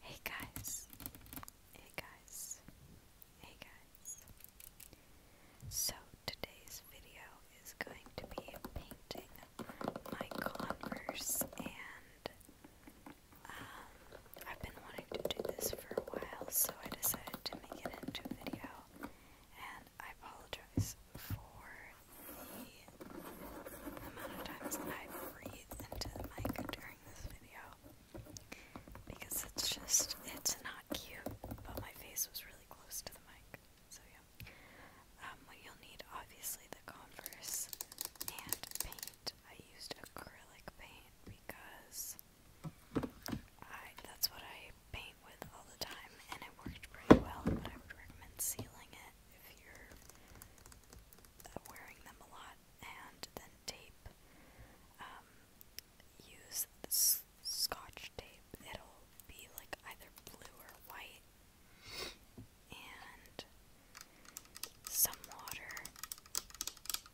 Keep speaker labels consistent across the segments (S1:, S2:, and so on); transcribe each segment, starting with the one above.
S1: Hey guys, hey guys, hey guys. So today's video is going to be painting my Converse and um, I've been wanting to do this for a while so I decided to make it into a video and I apologize for the amount of times I've because it's just, it's not cute, but my face was really close to the mic. So, yeah. Um, what you'll need, obviously, the Converse and paint. I used acrylic paint because I that's what I paint with all the time, and it worked pretty well. But I would recommend sealing it if you're uh, wearing them a lot, and then tape. Um, use scotch tape. It'll be like either blue or white. And some water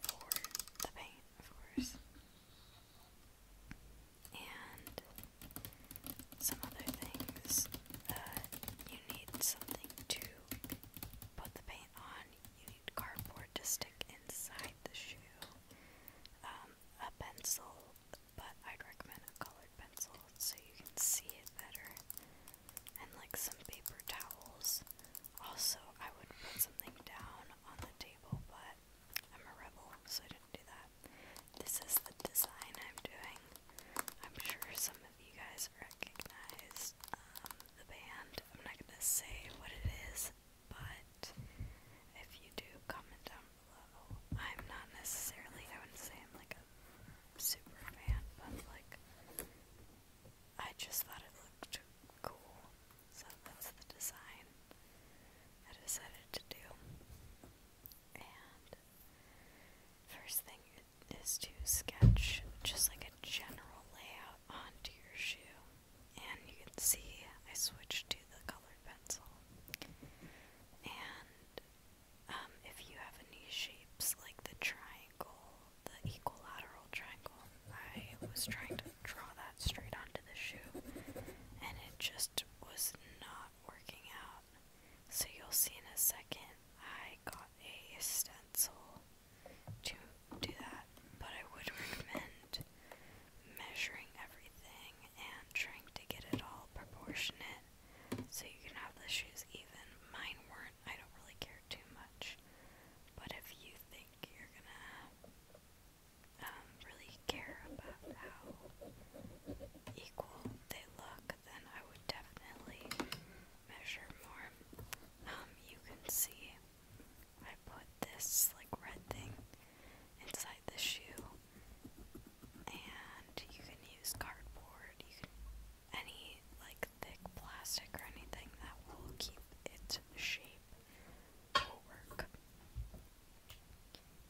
S1: for the paint, of course. And some other things. Uh, you need something to put the paint on, you need cardboard to stick inside the shoe, um, a pencil, but I'd recommend a colored pencil so you can see it better, and like some paper towels. Also, I would put something down on the table, but I'm a rebel, so I didn't do that. This is the design I'm doing. I'm sure some you guys recognize um, the band. I'm not gonna say what it is, but if you do, comment down below. I'm not necessarily, I would say I'm like a super fan, but like, I just thought it looked cool, so that's the design I decided to do. And first thing is to sketch just like a general layout onto your shoe. And you can see I switched to the colored pencil. And um, if you have any shapes like the triangle, the equilateral triangle, I was trying to draw that straight onto the shoe. And it just was not working out. So you'll see in a second, I got a stencil to do that, but I would recommend measuring everything and trying to get it all proportionate so you can have the shoes even. Mine weren't, I don't really care too much, but if you think you're gonna um, really care about how equal they look, then I would definitely measure more, um, you can see I put this like red thing inside the shoe, and you can use cardboard, you can any like thick plastic or anything that will keep its shape will work.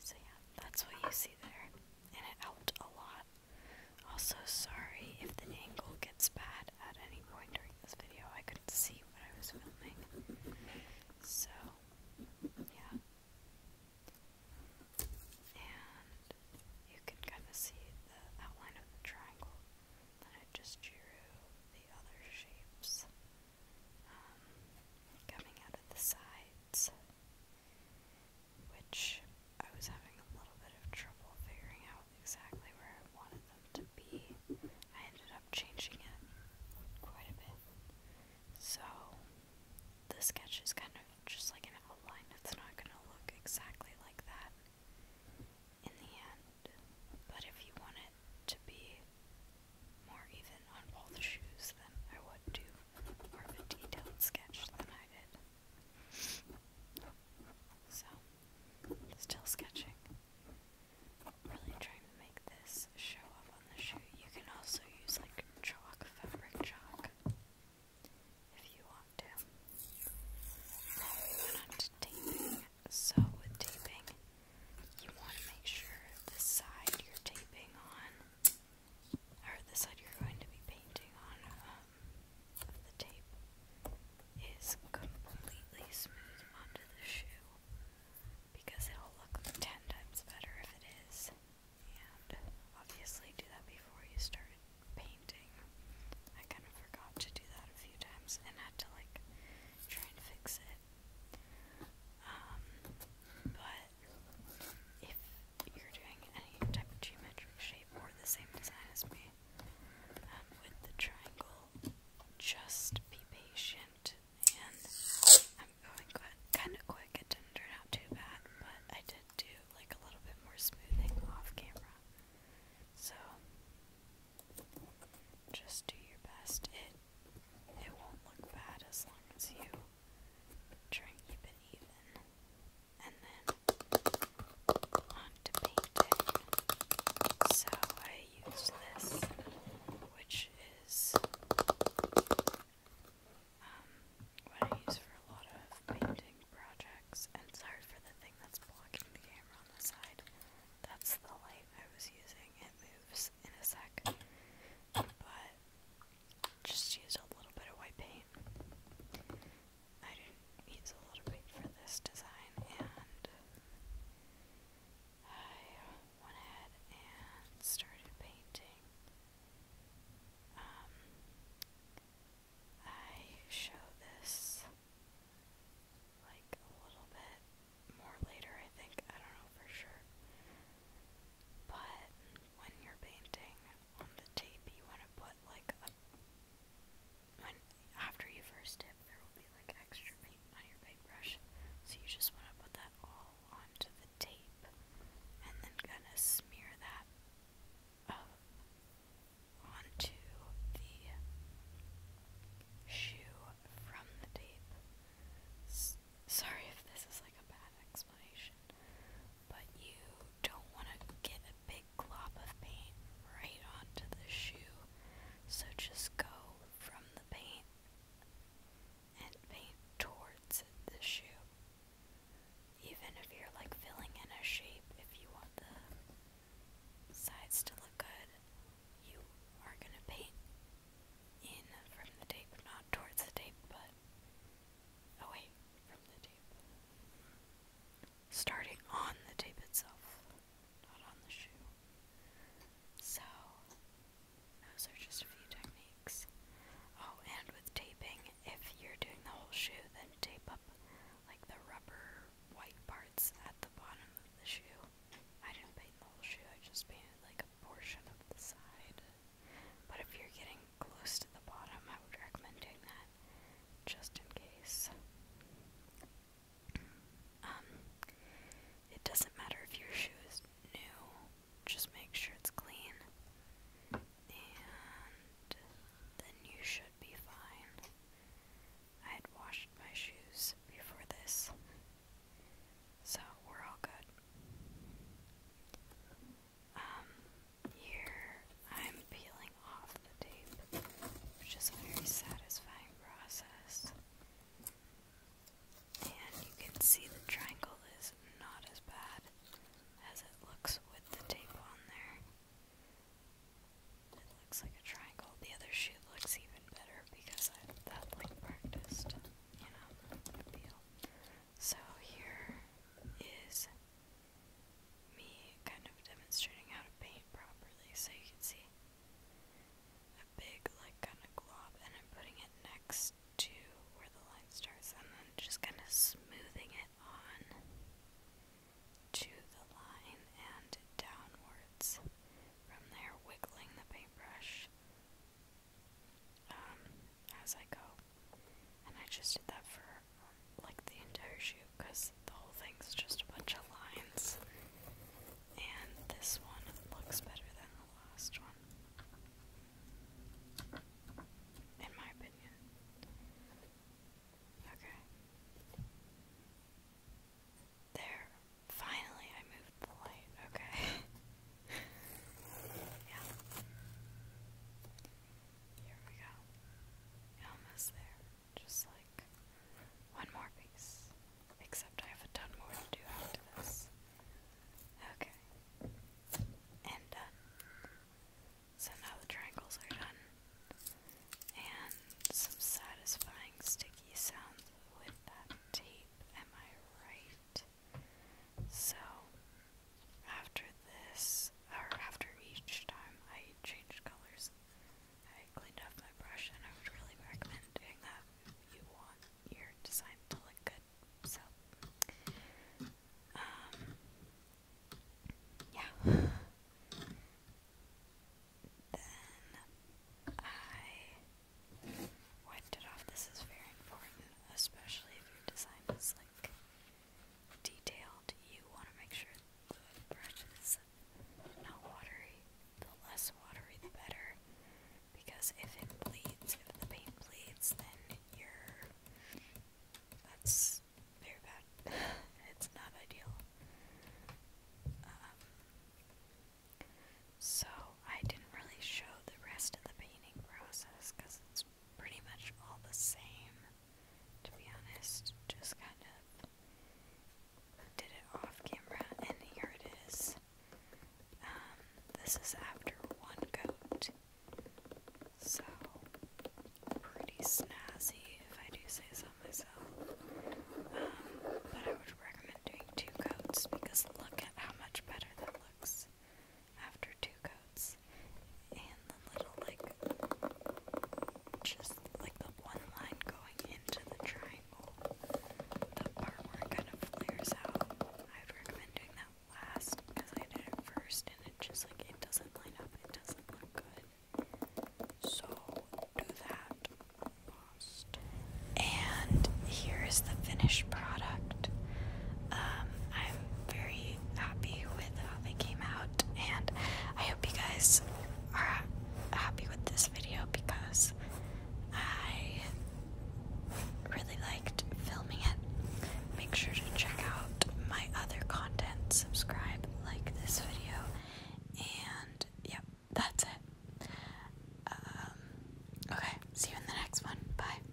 S1: So yeah, that's what you see there and it helped a lot. Also, sorry if the angle gets bad at any point during this video. I couldn't see what I was filming. So, yeah. And you can kind of see the outline of the triangle. Then I just drew the other shapes um, coming out of the sides which I was having a little bit of trouble figuring out exactly where I wanted them to be. I ended up changing it quite a bit. So, the sketch is kind of just like an outline, it's not going to look exactly like that in the end. But if you want it to be more even on all shoes, then I would do more of a detailed sketch than I did. So, still sketching. Really trying to make this show up on the shoe. You can also use like chalk, fabric chalk, if you want to. Now we went on to taping. So with taping, you want to make sure the side you're taping on or the side you're going to be painting on um, the tape is completely smooth onto the shoe because it'll look ten times better if it is. And obviously do that before you start painting. I kind of forgot to do that a few times and had to like try and fix it. Um, but if you're doing any type of geometric shape or the same design as me um, with the triangle, just be patient. I'm going kind of quick. It did out too bad, but I did do like a little bit more smoothing off camera. So just do your best. It it won't look bad as long as you try and keep it even. And then want to So I use this, which is what I use for a lot of painting projects. And sorry for the thing that's blocking the camera on the side. That's the light I was using. It moves in a sec. But just use a little bit of white paint. I did a lot of for this design, and I went ahead and started painting. Um, I show this like a little bit more later, I think. I don't know for sure. But when you're painting, on the tape you want to put like after you first dip there will be like extra paint on your paintbrush. So you just want to put that all onto the tape and then kind of smear that up onto the shoe from the tape. sorry if this is like a bad explanation solution, but you don't want to get a big glob of paint right onto the shoe, so just go from the paint and paint towards the shoe. Even if you're like filling in a shape, if you want the sides to look good, you are going to paint in from the tape, not towards the tape, but away from the tape. Starting on the tape itself, not on the shoe. So, those are just a few techniques. Oh, and with taping, if you're doing the whole shoe, then tape up like the rubber white parts at the bottom of the shoe. I didn't paint the whole shoe, I just painted like a portion of the side. But if you're getting close to the bottom, I would recommend doing that just in case. Um, it doesn't matter if your shoe is new, just make sure it's clean, and then you should be fine. I had washed my shoes before this, so we're all good. Um, here, I'm peeling off the tape, which is a very satisfying process. And you can see the triangle is not as bad as it looks with the tape on there. It looks like a triangle. The other shoe looks even better because I have like practiced, you know, peel. So here is me kind of demonstrating how to paint properly so you can see a big like kind of glob and I'm putting it next to where the line starts and then just kind of smoothing it on to the line and downwards from there wiggling the paintbrush um, as I go. And I just did that for um, like the entire shoot because the whole thing's just a bunch of lines. And this one looks better than the last one. In my opinion. Okay. There. Finally, I moved the Okay. yeah. Here we go. Almost there. Just like one more piece. Except I have a ton more to do after this. Okay. And done. So now the triangles are done. And some satisfying sticky sounds with that tape. Am I right? So after this, or after each time I changed colors, I cleaned up my brush, and I would really recommend doing that if you want your design to look good. So, um, yeah. Then I wiped it off. This is very important, especially if your design is like detailed, you want to make sure the brush is not watery. The less watery, the better. Because if it bleeds, if the paint bleeds, then you're. That's very bad. it's not ideal. Um, so, I didn't really show the rest of the painting process because it's pretty much all the same, to be honest. Just kind of did it off camera, and here it is. Um, this is after one coat, so pretty snazzy if I do say so myself. Um, but I would recommend doing two coats because look at how much better that looks after two coats, and the little like just like the one line going into the triangle, the part where it kind of flares out. I'd recommend doing that last because I did it first, and it just like it doesn't line up. It doesn't look good. So do that first. And here is the finished product. Um, I'm very happy with how they came out, and I hope you guys are happy with this video because I really liked filming it. Make sure to check out my other content, subscribe, like this video, and yep, that's it. Um, okay, see you in the next one. Bye.